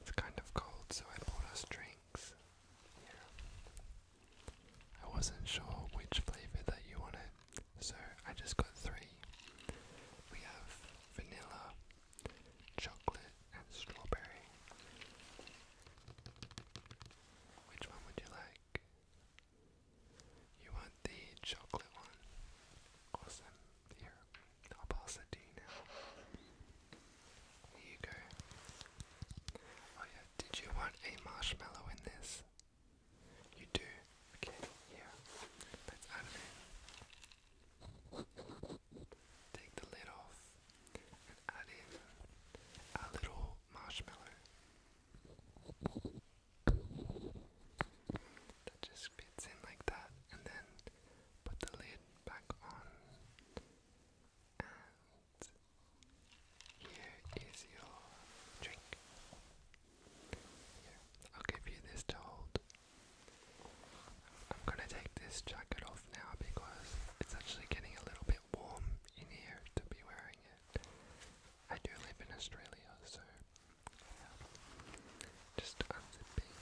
It's kind of cold, so I bought us drinks. Yeah. I wasn't sure which flavor that you wanted, so I just got three. We have vanilla, chocolate, and strawberry. Which one would you like? You want the chocolate one? Awesome. Here, I'll pass it to you now. Here you go. Oh yeah, did you want a marshmallow in this? You do? Okay, yeah. Let's add it Take the lid off add in a little marshmallow that just fits in like that, and then put the lid back on. And here is your drink. I'll give you this to hold. I'm gonna take this jacket off now because it's actually getting a little bit warm in here to be wearing it. I do live in Australia, so yeah. just unzipping.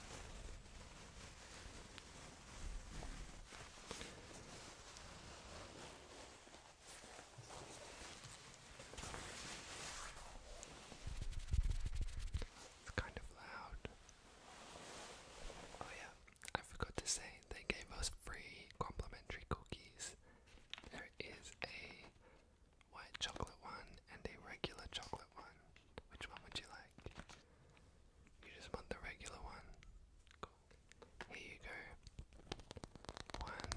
It's kind of loud. Oh yeah, I forgot to say they gave us free complimentary cookies. There is a white chocolate one and a regular chocolate one. Which one would you like? You just want the regular one? Cool. Here you go. One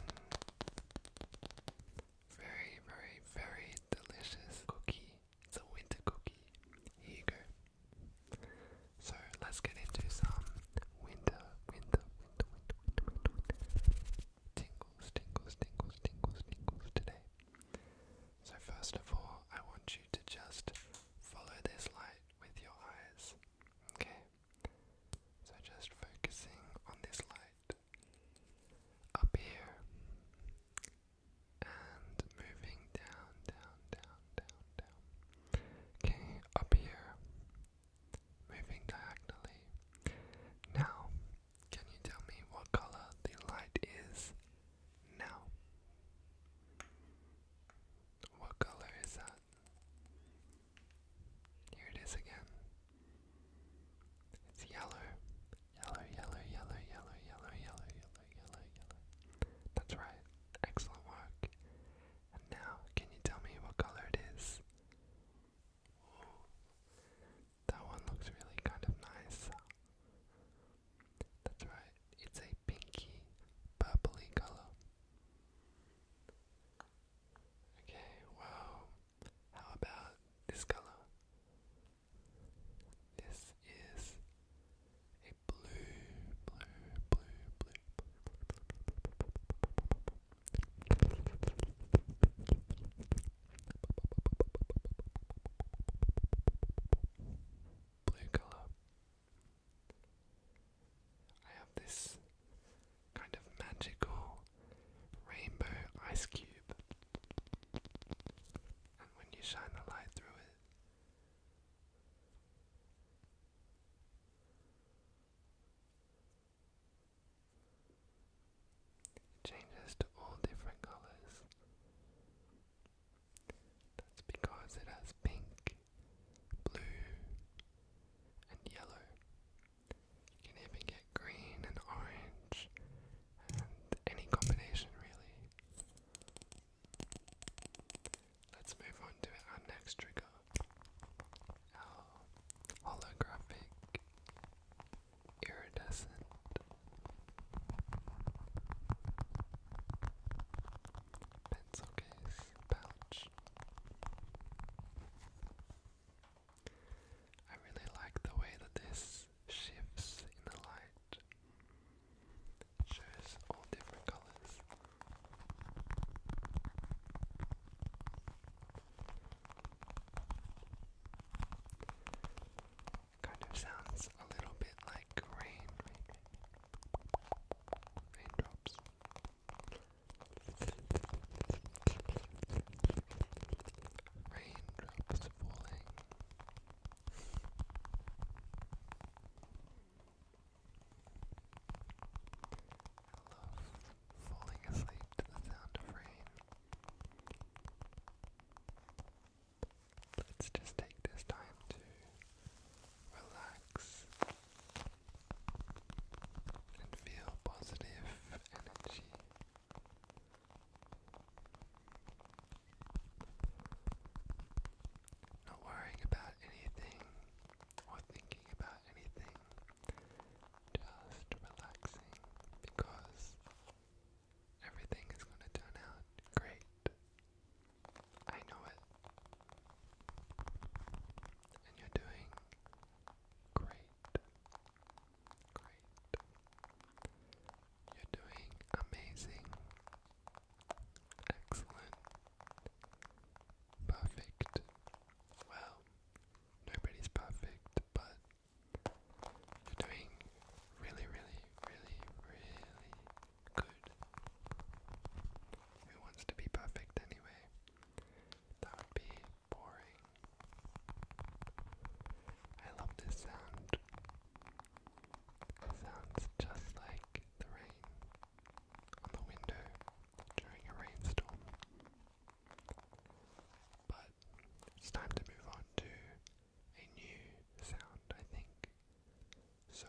very, very, very delicious cookie. It's a winter cookie. Here you go. So let's get into some winter, winter, winter, winter, winter, winter, Tingles, tingles, tingles, tingles, tingles today. So first of all, I want you to just follow this light with your eyes. Okay? So just focusing on this light up here and moving down, down, down, down, down. Okay, up here moving diagonally. Now, can you tell me what color the light is now? What color is that? Here it is again. It's yellow. Yellow, yellow, yellow, yellow, yellow, yellow, yellow, yellow, yellow. That's right. Excellent work now, can you tell me what color it is? that one looks really kind of nice. That's right, it's a pinky, purpley color. Okay, wow. How about this color? This is a blue, blue, blue, blue. Blue color. I have this kind of magical rainbow ice cube, and when you shine the light through it, it changes to all different colors. That's because it has pink, blue, and yellow. You can even get green and orange and any combination really. Let's move on to our next trigger. Our holographic iridescent. Pencil case pouch. I really like the way that this shifts in the light. shows all different colors. Kind of sounds a little bit like rain, raindrops. Raindrops falling. I love falling asleep to the sound of rain. Let's just take this time to relax and feel positive energy. Not worrying about anything or thinking about anything just relaxing because everything is going to turn out great. I know it. And you're doing great. Great. You're doing amazing. Excellent. Perfect well, nobody's perfect, but you're doing really, really, really, really good. Who wants to be perfect anyway? That would be boring. I love this sound. It sounds just like the rain on the window during a rainstorm. But it's time to move on to a new sound, I think. So,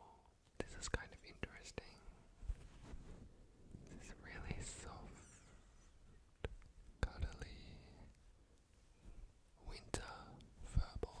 oh, this is kind of interesting. This is really soft, cuddly winter verbal.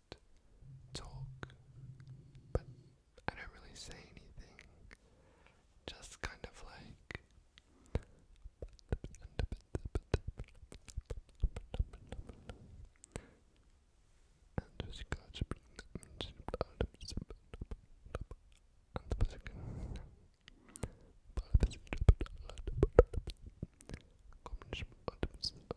just talk, but I don't really say anything. Just kind of like.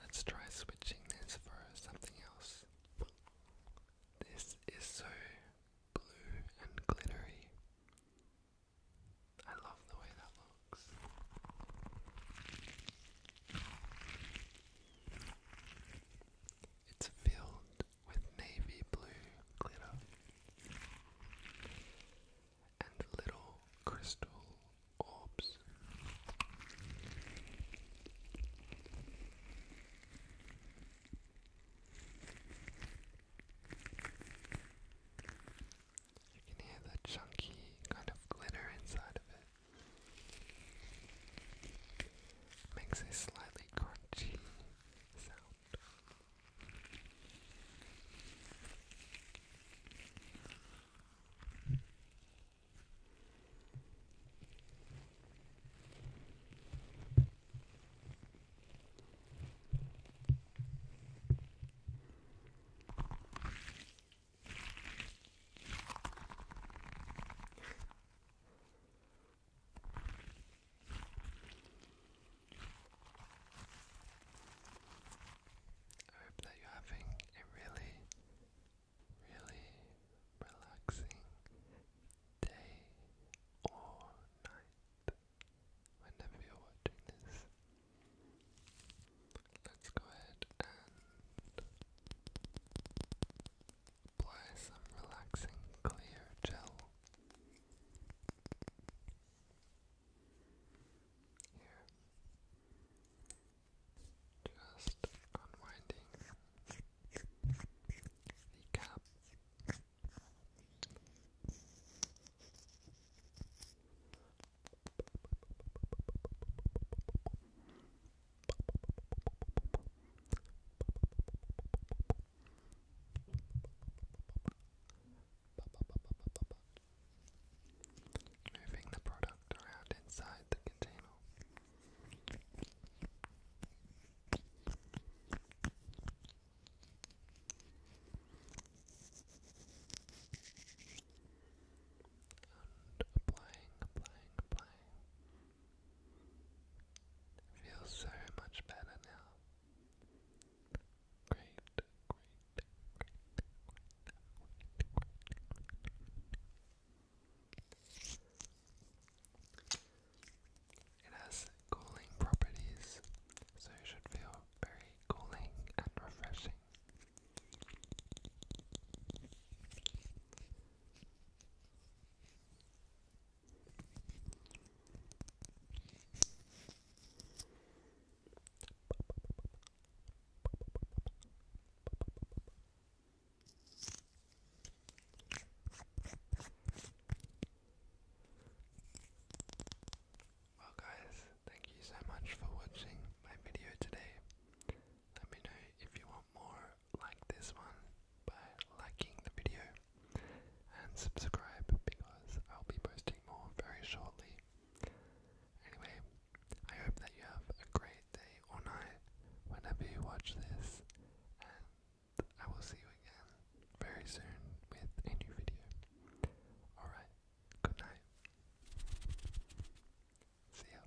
Let's try switching this for something else. This is so blue and glittery. I love the way that looks. It's filled with navy blue glitter and little crystal orbs. You can hear the chunky kind of glitter inside of it. Makes a slightly crunchy sound. I hope that you're having a really, really relaxing day or night whenever you're watching this. Let's go ahead and apply some relaxing clear gel. Here. Just unwinding the cap. Moving the product around inside the container. And applying, applying, applying. Feels so much better now. Great, great, It has cooling properties, so it should feel very cooling and refreshing. Well guys, thank you so much for watching my video today. Let me know if you want more like this one by liking the video and subscribe because I'll be posting more very shortly. Anyway, I hope that you have a great day or night whenever you watch this, and I will see you again very soon with a new video. Alright, good night. See ya.